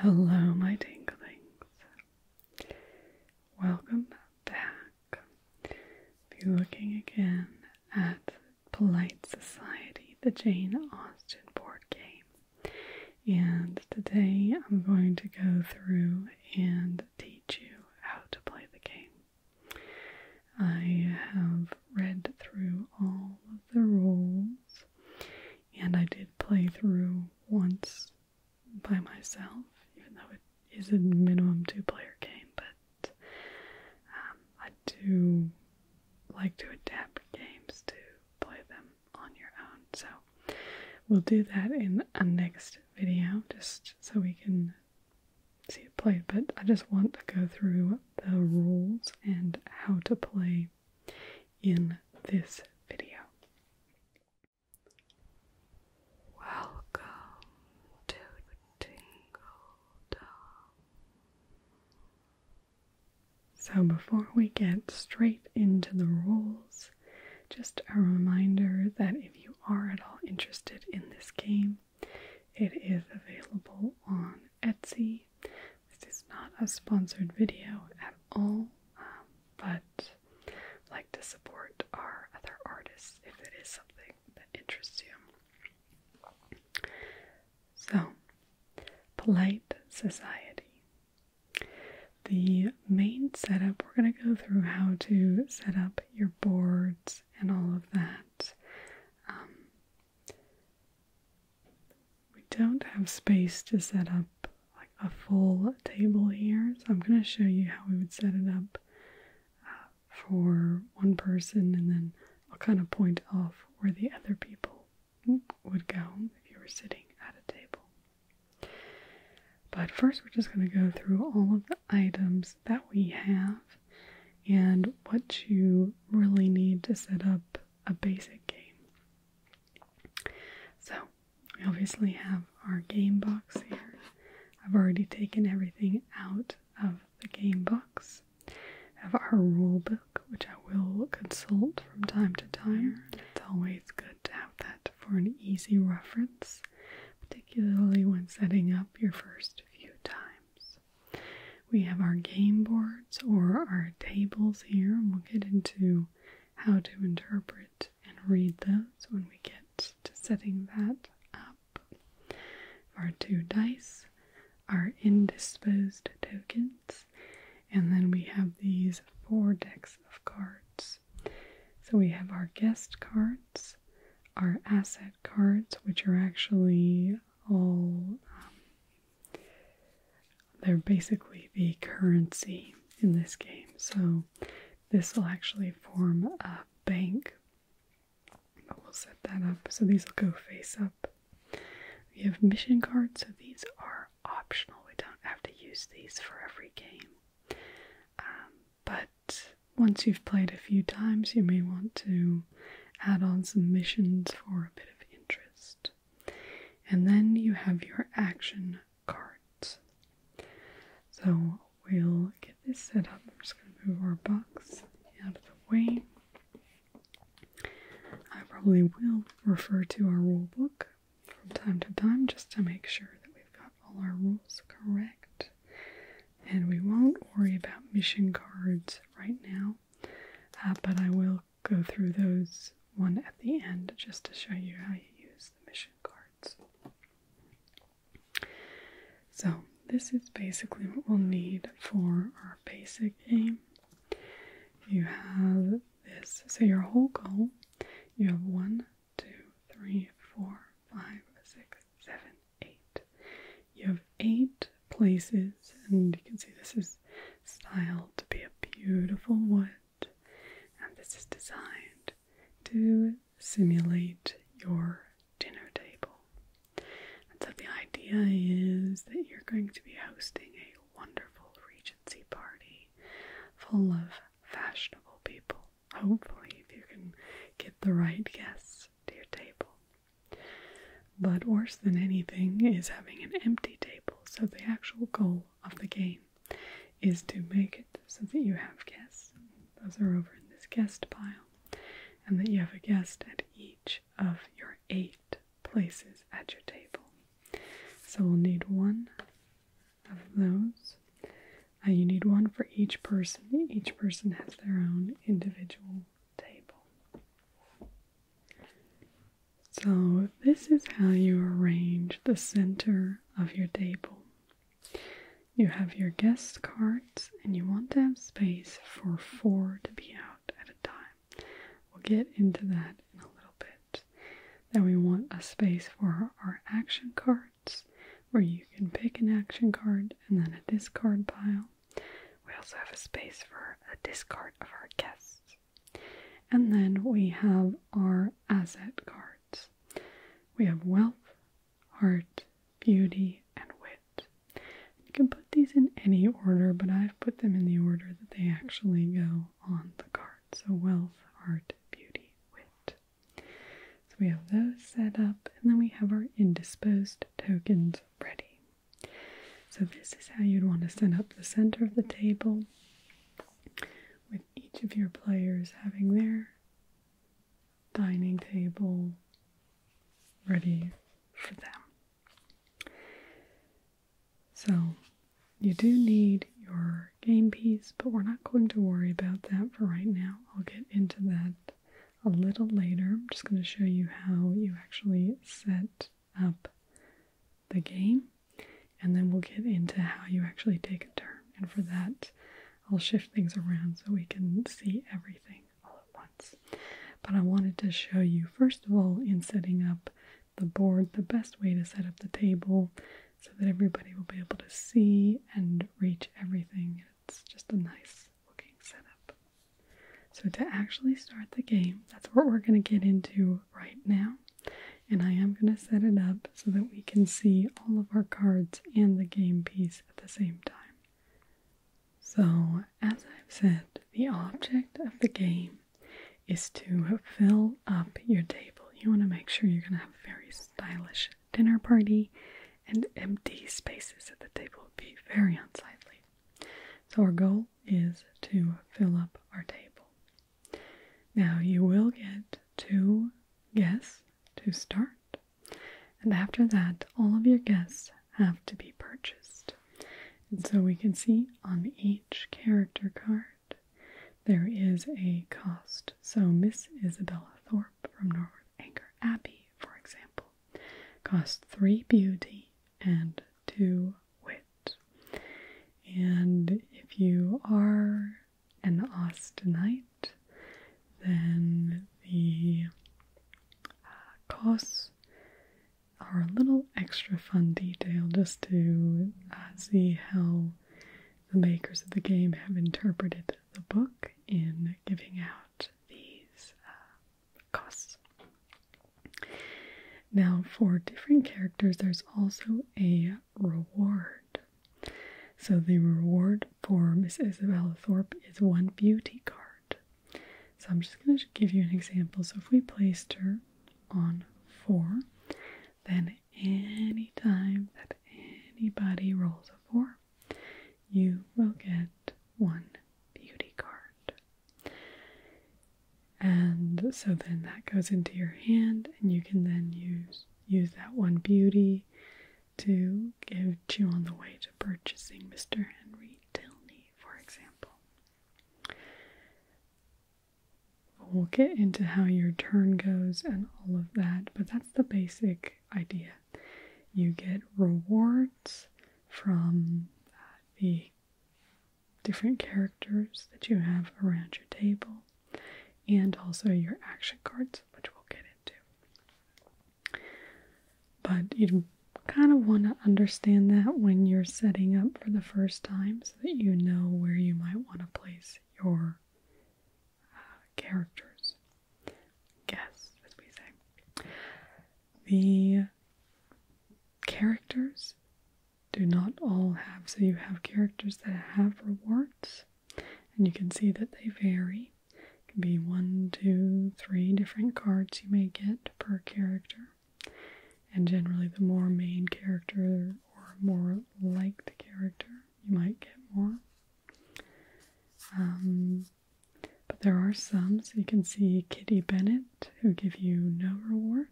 Hello, my tinglings. Welcome back. If you're looking again at Polite Society, the Jane Austen board game, and today I'm going to go through and teach you how to play the game. I have read through all of the rules and I did play through once by myself, even though it is a minimum two player game, but um, I do like to adapt games to play them on your own. So we'll do that in a next video just so we can see it played. But I just want to go through the rules and how to play in this video. Welcome to Tingle Dome. So, before we get straight into the rules, just a reminder that if you are at all interested in this game, it is available on Etsy this is not a sponsored video at all, um, but I'd like to support our other artists if it is something that interests you. So, polite society. The main setup, we're going to go through how to set up your boards and all of that. Um, we don't have space to set up like a full table here, so I'm going to show you how we would set it up uh, for one person, and then I'll kind of point off where the other people would go if you were sitting at a table. But first, we're just going to go through all of the items that we have and what you really need to set up a basic game. So, we obviously have our game box here. I've already taken everything out of the game box. I have our rule book, which I will consult from time to time. It's always good to have that for an easy reference, particularly when setting up your first few times. We have our game board or our tables here, and we'll get into how to interpret and read those when we get to setting that up. Our two dice, our indisposed tokens, and then we have these four decks of cards. So we have our guest cards, our asset cards, which are actually all um, they're basically the currency in this game. So this will actually form a bank. But we'll set that up. So these will go face up. We have mission cards, so these are optional. We don't have to use these for every game. Um, but once you've played a few times, you may want to add on some missions for a bit of interest. And then you have your action cards. So we'll get this set up. I'm just going to move our box out of the way. I probably will refer to our rule book from time to time just to make sure that we've got all our rules correct. And we won't worry about mission cards right now, uh, but I will go through those one at the end just to show you how you use the mission cards. So, this is basically what we'll need for our basic game. You have this, so your whole goal, you have one, two, three, four, five, six, seven, eight. You have eight places, and you can see this is styled to be a beautiful wood, and this is designed to simulate your dinner table. so the idea is that you're going to be hosting a wonderful Regency party full of fashionable people, hopefully, if you can get the right guests to your table. But worse than anything is having an empty table. So the actual goal of the game is to make it so that you have guests. Those are over in this guest pile. And that you have a guest at each of your eight places at your table. So we'll need one of those. Uh, you need one for each person. Each person has their own individual table. So, this is how you arrange the center of your table. You have your guest cards, and you want to have space for four to be out at a time. We'll get into that in a little bit. Then, we want a space for our action cards, where you can pick an action card and then a discard pile. We also have a space for a discard of our guests. And then we have our asset cards. We have wealth, art, beauty, and wit. You can put these in any order, but I've put them in the order that they actually go on the card. So wealth, art, beauty, wit. So we have those set up, and then we have our indisposed tokens ready. So this is how you'd want to set up the center of the table with each of your players having their dining table ready for them. So you do need your game piece, but we're not going to worry about that for right now. I'll get into that a little later. I'm just going to show you how you actually set up the game, and then we'll get into how you actually take a turn. And for that, I'll shift things around so we can see everything all at once. But I wanted to show you, first of all, in setting up the board, the best way to set up the table so that everybody will be able to see and reach everything. It's just a nice looking setup. So, to actually start the game, that's what we're going to get into right now. And I am going to set it up so that we can see all of our cards and the game piece at the same time. So, as I've said, the object of the game is to fill up your table. You want to make sure you're going to have a very stylish dinner party, and empty spaces at the table would be very unsightly. So, our goal is to fill up our table. Now you will get two guests to start, and after that, all of your guests have to be purchased. And so we can see on each character card there is a cost. So Miss Isabella Thorpe from Norwood Anchor Abbey, for example, costs three beauty and two wit. And if you are an Austinite, then the uh, costs are a little extra fun detail just to uh, see how the makers of the game have interpreted the book in giving out these uh, costs. Now, for different characters, there's also a reward. So, the reward for Miss Isabella Thorpe is one beauty card. So, I'm just going to give you an example. So, if we placed her on four, then any time that anybody rolls a four, you will get one beauty card. And so then that goes into your hand, and you can then use use that one beauty to give to on the way to purchasing Mr. Henry Tilney, for example. We'll get into how your turn goes and all of that, but that's the basic idea. You get rewards from uh, the different characters that you have around your table, and also your action cards, which we'll get into. But you kind of want to understand that when you're setting up for the first time so that you know where you might want to place your uh, characters. Guess, as we say. The characters do not all have. So you have characters that have rewards, and you can see that they vary. It can be one, two, three different cards you may get per character. And generally, the more main character or more liked character, you might get more. Um, but there are some, so you can see Kitty Bennett, who give you no reward,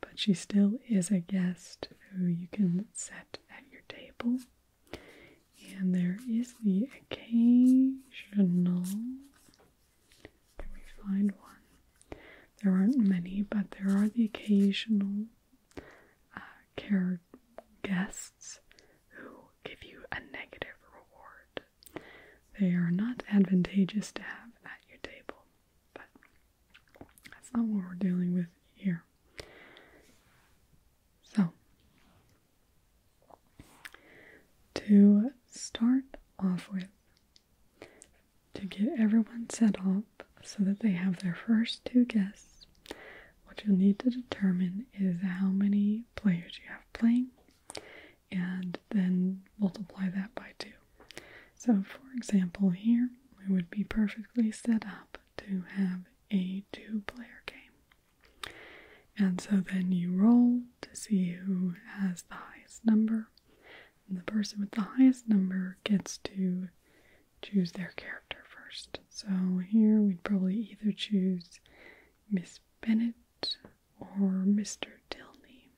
but she still is a guest who you can set at your table. And there is the occasional. Can we find one? There aren't many, but there are the occasional uh, guests who give you a negative reward. They are not advantageous to have at your table, but that's not what we're dealing with here. So, to start off with, to get everyone set up so that they have their first two guests, what you'll need to determine is how many players you have playing and then multiply that by 2. So for example here, we would be perfectly set up to have a two-player game. And so then you roll to see who has the highest number. And the person with the highest number gets to choose their character first. So here we'd probably either choose Miss Bennett or Mr. Tilney,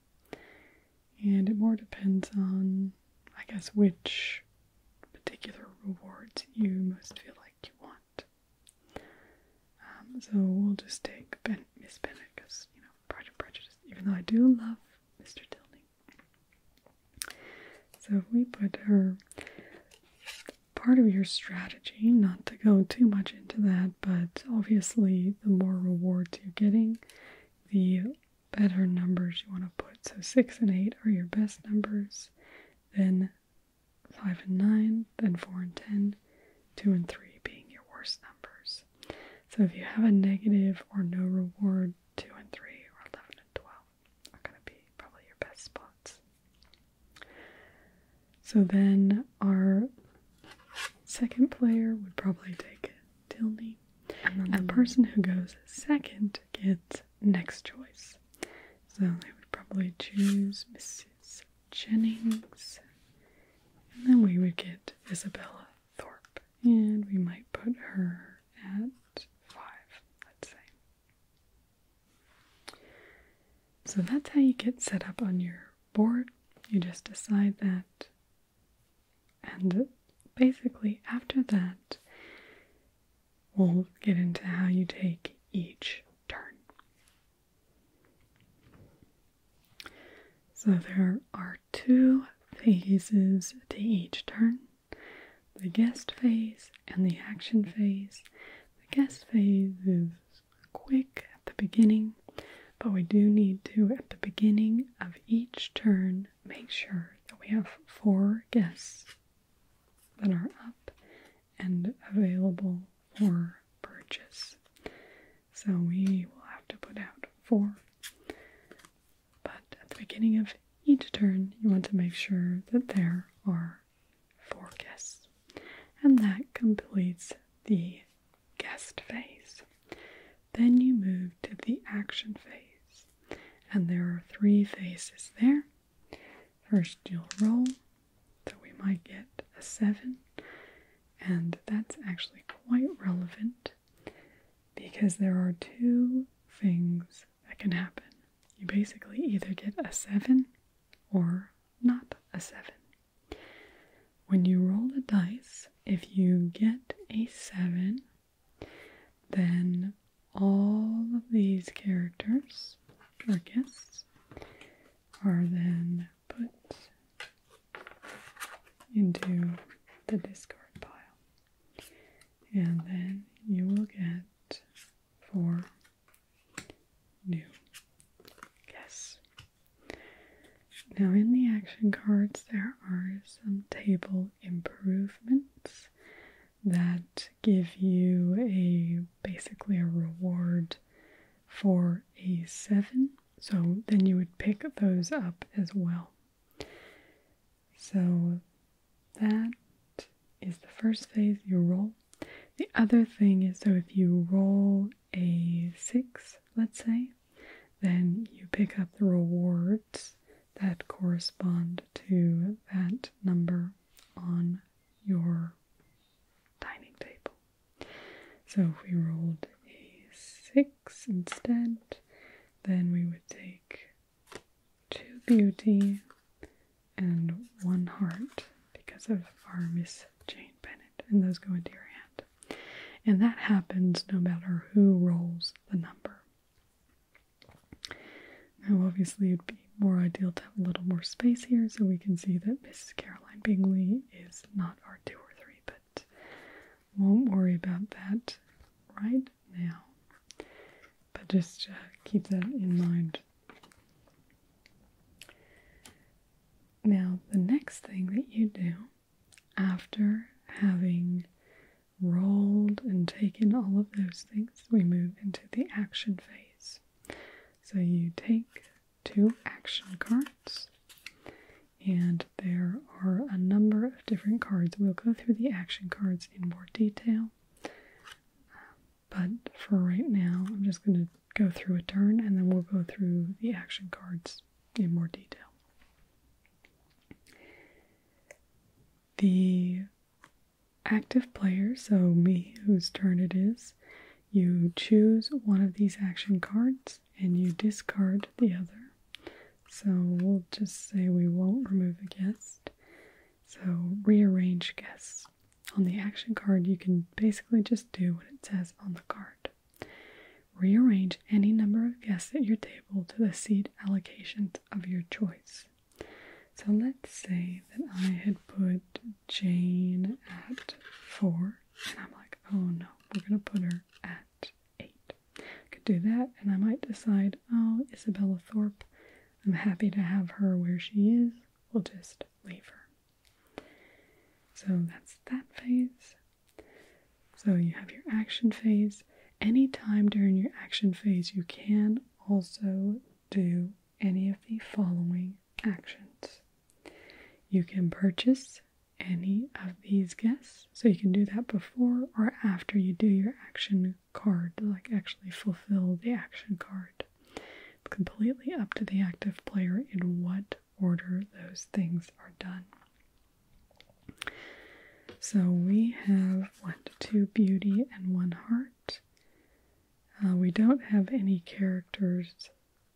And it more depends on, I guess, which particular rewards you most feel like you want. Um, so we'll just take Miss Bennett because, you know, Pride Prejudice, even though I do love Mr. Tilney, So if we put her, part of your strategy, not to go too much into that, but obviously the more rewards you're getting, the better numbers you want to put. So six and eight are your best numbers, then five and nine, then four and ten, two and three being your worst numbers. So if you have a negative or no reward, two and three or eleven and twelve are gonna be probably your best spots. So then our Second player would probably take Tilney. A person who goes second gets next choice. So they would probably choose Mrs. Jennings. And then we would get Isabella Thorpe. And we might put her at five, let's say. So that's how you get set up on your board. You just decide that and basically, after that, we'll get into how you take each turn. So, there are two phases to each turn the guest phase and the action phase. The guest phase is quick, at the beginning, but we do need to, at the beginning of each turn, make sure that we have four guests that are up and available for purchase. So we will have to put out four. But at the beginning of each turn, you want to make sure that there are four guests, And that completes the guest phase. Then you move to the action phase, and there are three phases there. First, you'll roll, so we might get a seven, and that's actually quite relevant because there are two things that can happen. You basically either get a seven or not a seven. When you roll the dice, if you get a 7, then all of these characters or guests are then put into the discard pile. And then you will get four new guests. Now, in the action cards, there are some table improvements that give you a basically a reward for a seven. So then you would pick those up as well. So that is the first phase you roll. The other thing is so if you roll a six, let's say, then you pick up the rewards that correspond to that number on your dining table. So if we rolled a 6 instead, then we would take 2 beauty and 1 heart because of our Miss Jane Bennett, and those go into your hand. And that happens no matter who rolls the number. Now, obviously, it'd be more ideal to have a little more space here so we can see that Mrs. Caroline Bingley is not our two or three, but won't worry about that right now. But just uh, keep that in mind. Now, the next thing that you do after having rolled and taken all of those things, we move into the action phase. So you take two action cards, and there are a number of different cards. We'll go through the action cards in more detail, but for right now, I'm just going to go through a turn and then we'll go through the action cards in more detail. The active player, so me whose turn it is, you choose one of these action cards and you discard the other. So we'll just say we won't remove a guest. So rearrange guests. On the action card, you can basically just do what it says on the card. Rearrange any number of guests at your table to the seat allocations of your choice. So let's say that I had put Jane at four, and I'm like, oh no, we're gonna put her at eight. I could do that, and I might decide, oh, Isabella Thorpe, I'm happy to have her where she is, we'll just leave her. So that's that phase. So you have your action phase. Anytime during your action phase, you can also do any of the following actions. You can purchase any of these guests. So you can do that before or after you do your action card, like actually fulfill the action card. It's completely up to the active player in what order those things are done. So we have one, two beauty and one heart. Uh, we don't have any characters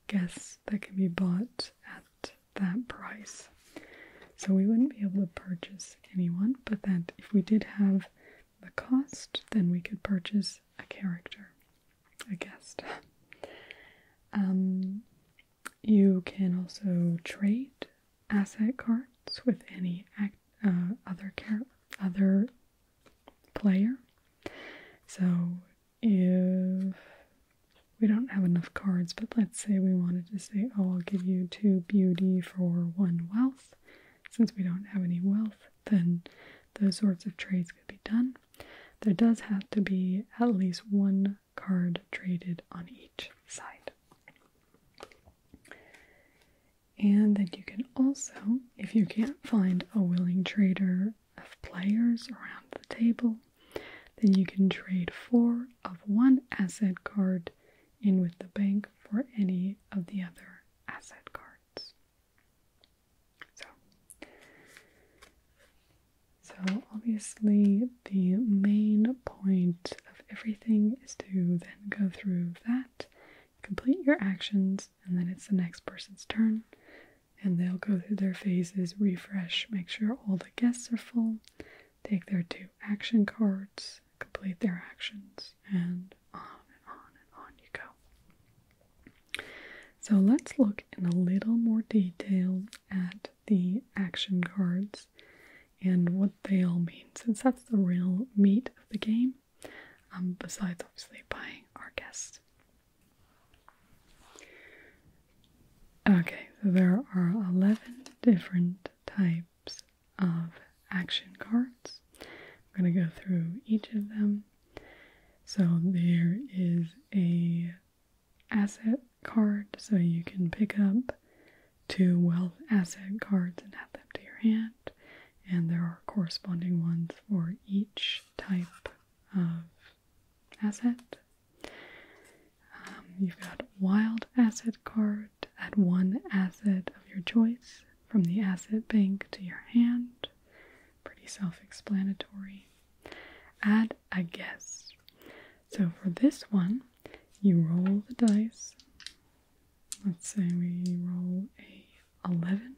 guests that can be bought at that price. So we wouldn't be able to purchase anyone, but that if we did have the cost, then we could purchase a character, a guest. Um, you can also trade asset cards with any uh, other other player. So if we don't have enough cards, but let's say we wanted to say, oh, I'll give you two beauty for one wealth. Since we don't have any wealth, then those sorts of trades could be done. There does have to be at least one card traded on each side. And then you can also, if you can't find a willing trader of players around the table, then you can trade four of one asset card in with the bank for any of the other asset cards. So so, obviously, the main point of everything is to then go through that, complete your actions, and then it's the next person's turn. And they'll go through their phases, refresh, make sure all the guests are full, take their two action cards, complete their actions, and on and on and on you go. So let's look in a little more detail at the action cards and what they all mean, since that's the real meat of the game, um, besides obviously buying our guests. Okay, there are 11 different types of action cards. I'm going to go through each of them. So there is a asset card so you can pick up two wealth asset cards and add them to your hand. And there are corresponding ones for each type of asset. Um, you've got wild asset card, add one asset of your choice from the asset bank to your hand pretty self explanatory. Add a guess. So for this one, you roll the dice. Let's say we roll a 11.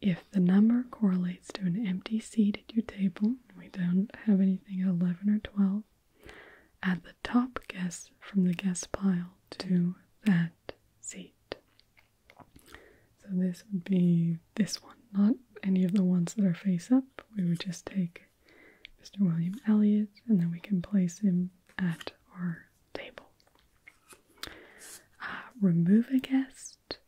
If the number correlates to an empty seat at your table, we don't have anything at 11 or 12, add the top guess from the guess pile to that seat. So this would be this one, not any of the ones that are face up. We would just take Mr. William Elliot and then we can place him at our table. Uh, remove a guest.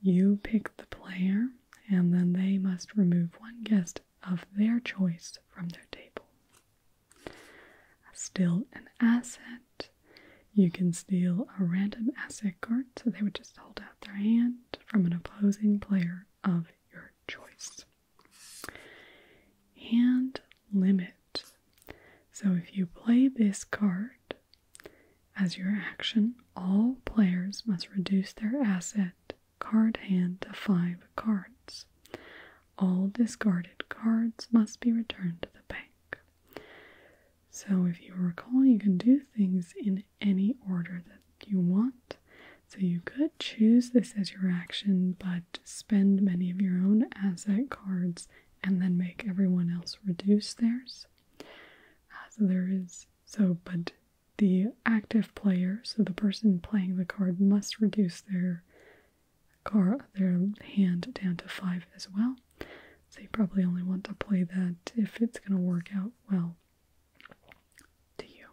You pick the player, and then they must remove one guest of their choice from their table. Steal an asset. You can steal a random asset card, so they would just hold their hand from an opposing player of your choice. Hand limit. So if you play this card as your action, all players must reduce their asset card hand to five cards. All discarded cards must be returned to the bank. So, if you recall, you can do things in any order that you want. So, you could choose this as your action, but spend many of your own asset cards and then make everyone else reduce theirs. Uh, so, there is so, but the active player, so the person playing the card, must reduce their card, their hand down to five as well. So you probably only want to play that if it's going to work out well to you.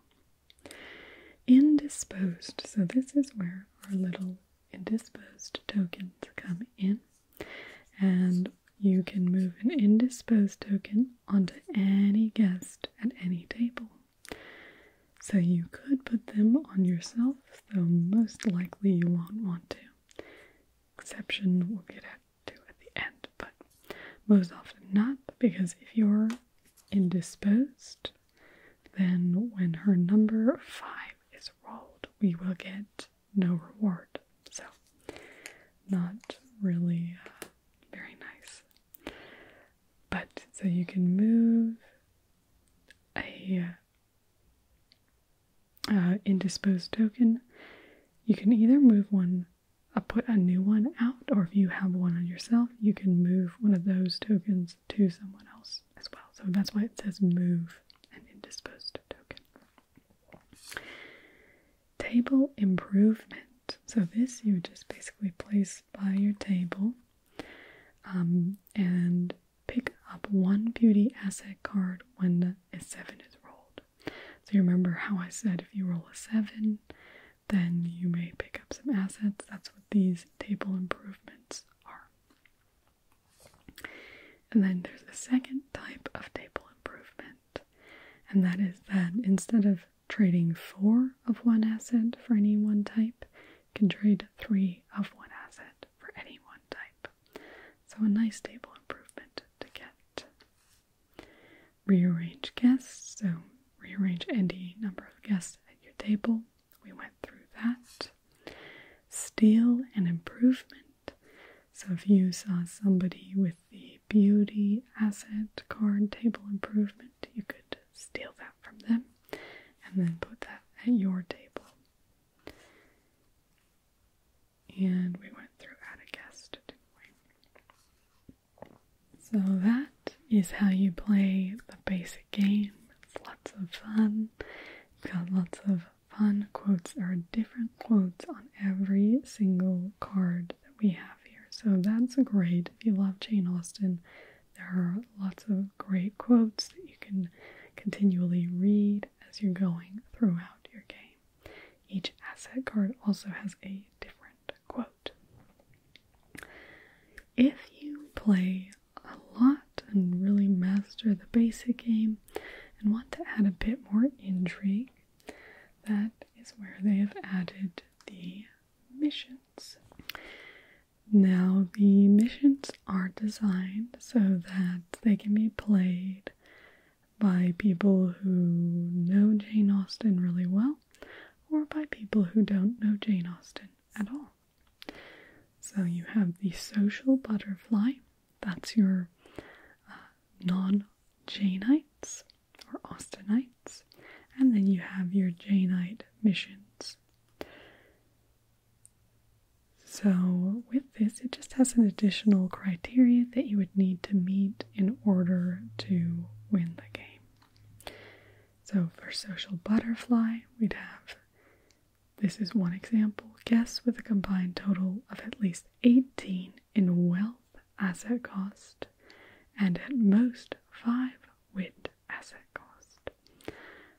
Indisposed. So this is where our little indisposed tokens come in. And you can move an indisposed token onto any guest at any table. So you could put them on yourself, though most likely you won't want to. Exception will get at do at the end, but most often not, because if you're indisposed, then when her number five is rolled, we will get no reward. So, not really uh, very nice. But so you can move a uh, indisposed token, you can either move one, uh, put a new one out, or if you have one on yourself, you can move one of those tokens to someone else as well. So that's why it says move an indisposed token. Table improvement. So this you just basically place by your table um, and pick up one beauty asset card when a seven is rolled. So, you remember how I said if you roll a 7, then you may pick up some assets. That's what these table improvements are. And then there's a second type of table improvement, and that is that instead of trading four of one asset for any one type, you can trade three of one asset for any one type. So, a nice table improvement to get rearrange guests. So rearrange any number of guests at your table. We went through that. Steal an improvement. So if you saw somebody with the beauty asset card table improvement, you could steal that from them and then put that at your table and we went through Atticus, didn't we? So that is how you play the basic game. It's lots of fun. it have got lots of fun quotes. or different quotes on every single card that we have here. So that's great. If you love Jane Austen, there are lots of great quotes that you can continually read as you're going throughout your game. Each asset card also has a different quote. If you play a lot and really master the basic game and want to add a bit more intrigue, that is where they have added the missions. Now, the missions are designed so that they can be played by people who know Jane Austen really well or by people who don't know Jane Austen at all. So you have the social butterfly, that's your uh, non Janeites or Austenites, and then you have your Janeite missions. So, with this, it just has an additional criteria that you would need to meet in order to win the game. So for social butterfly, we'd have this is one example guests with a combined total of at least 18 in wealth asset cost and at most 5 wit asset cost.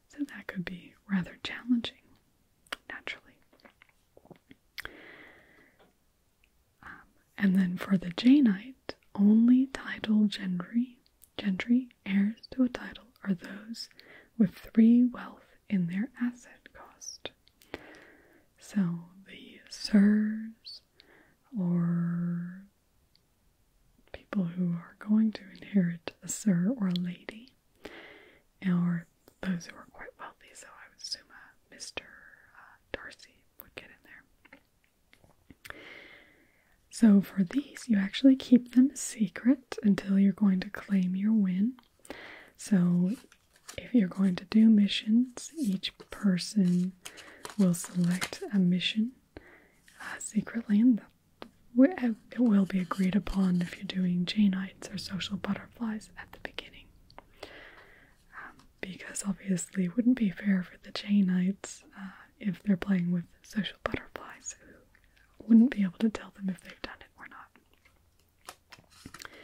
So that could be rather challenging naturally. Um, and then for the Jainite, only title gentry, gentry heirs to a title are those with three wealth in their asset cost. So the sirs or people who are going to inherit a sir or a lady or those who were quite wealthy, so I would assume uh, Mr. Uh, Darcy would get in there. So for these, you actually keep them secret until you're going to claim your win. So if you're going to do missions, each person will select a mission uh, secretly, and it will be agreed upon if you're doing Janeites or social butterflies at the beginning. Um, because obviously it wouldn't be fair for the Jaynites uh, if they're playing with social butterflies who wouldn't be able to tell them if they've done it or not.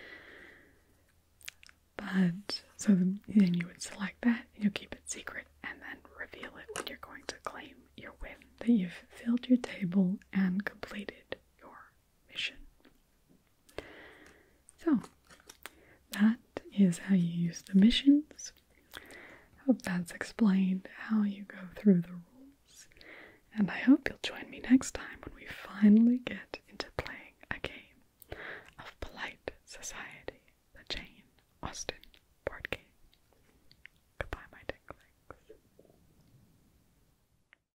But so then you would select that, you keep it secret, and then reveal it when you're going to claim your win that you've filled your table and completed your mission. So, that is how you use the missions. I hope that's explained how you go through the rules. And I hope you'll join me next time when we finally get into playing a game of Polite Society, the Jane Austen board game. Goodbye, my dick legs.